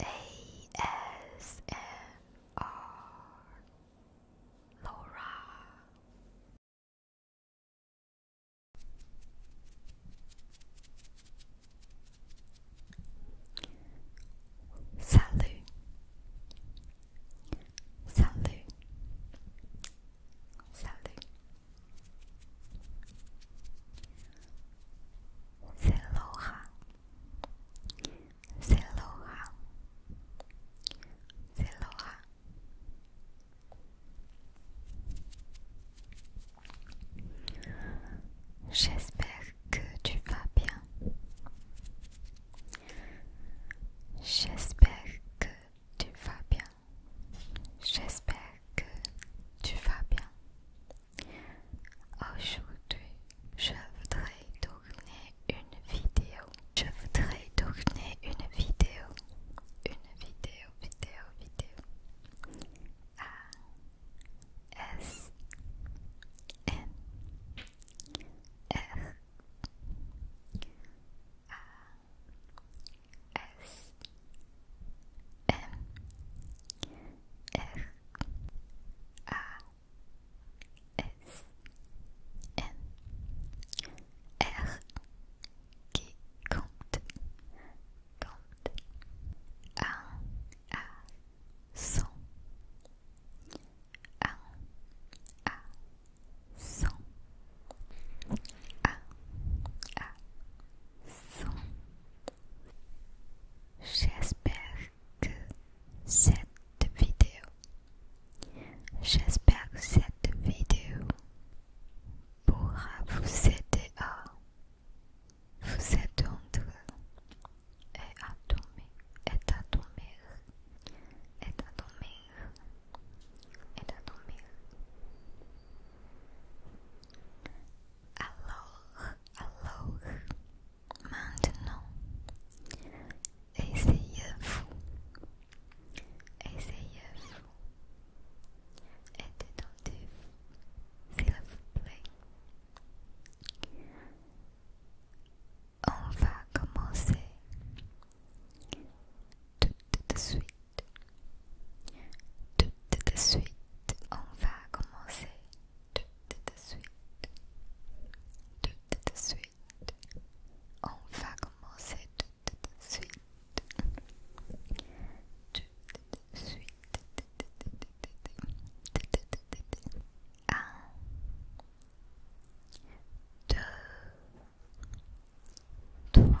A S N R. Laura Salut Salut Salut C'est Laura. C'est Laura. C'est Laura. J'espère que tu vas bien. J'espère que tu vas bien. J'espère que tu vas bien. Aujourd'hui, je voudrais tourner une vidéo. Je voudrais tourner une vidéo. Une vidéo, vidéo, vidéo. A S N R A S M R A S N R qui compte compte cent cent J'espère que cette vidéo, j'espère que cette vidéo pourra vous aider à vous attendre et à dormir, et à dormir, et à dormir, et à dormir. Alors, alors, maintenant, essayez-vous, essayez-vous et détendez-vous, s'il vous plaît. On va commencer tout de suite. Tout de suite, on va commencer. Tout de suite. Tout de suite. On va commencer tout de suite. Tout de suite. Un, deux, trois,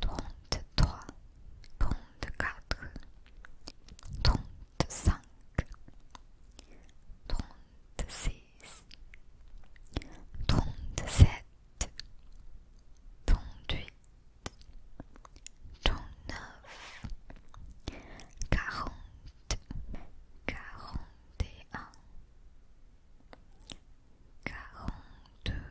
trente-trois, trente-quatre, trente-cinq, trente-six, trente-sept, trente-huit, trente-neuf, quarante, quarante et un, quarante-deux,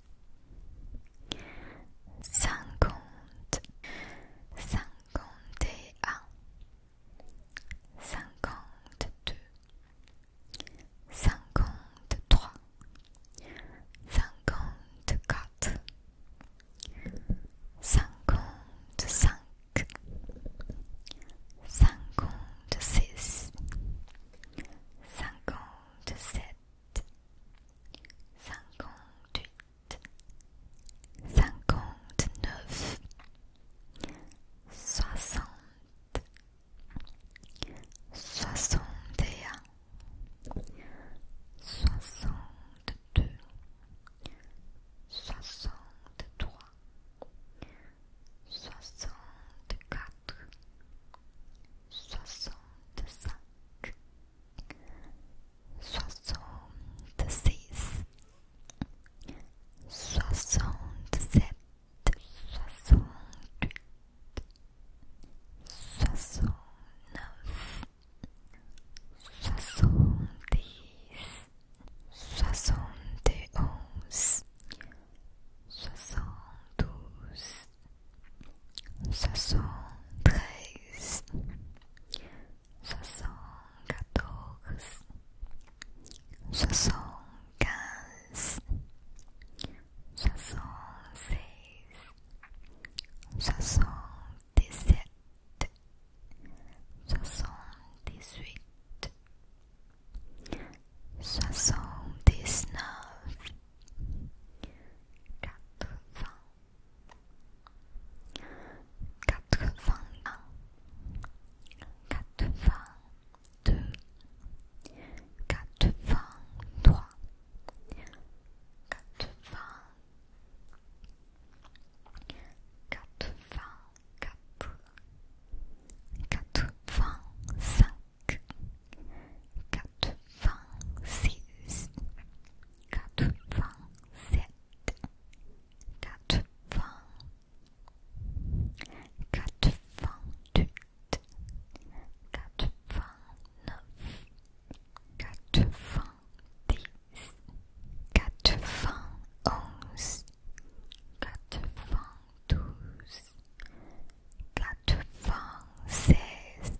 cinquante, cinquante et un, cinquante deux, cinquante trois, cinquante quatre, cinquante cinq, cinquante six, cinquante sept cinquante-huit, cinquante-neuf, soixante, soixante et un, soixante-deux, soixante-trois, soixante-quatre, soixante-cinq soixante-six, soixante-sept, soixante-huit, soixante-neuf, soixante-dix, soixante-et-onze, soixante-douze soixante-treize, soixante-quatorze, soixante-quinze, soixante-seize, soixante-dix-sept, soixante-dix-huit, soixante-dix-neuf, quatre quatre-vingt-un, quatre-vingt-deux, quatre-vingt-trois, quatre quatre-vingt-quatre, quatre-vingt-cinq, vingt six quatre-vingt-sept, quatre vingt quatre quatre-vingt-huit, quatre-vingt-neuf, quatre-vingt-dix, quatre-vingt-onze, quatre-vingt-douze, quatre-vingt-seize.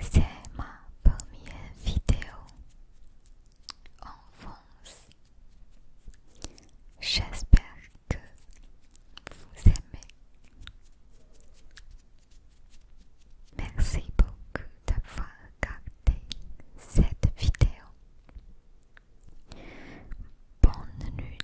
C'est ma première vidéo en France. J'espère que vous aimez. Merci beaucoup d'avoir regardé cette vidéo. Bonne nuit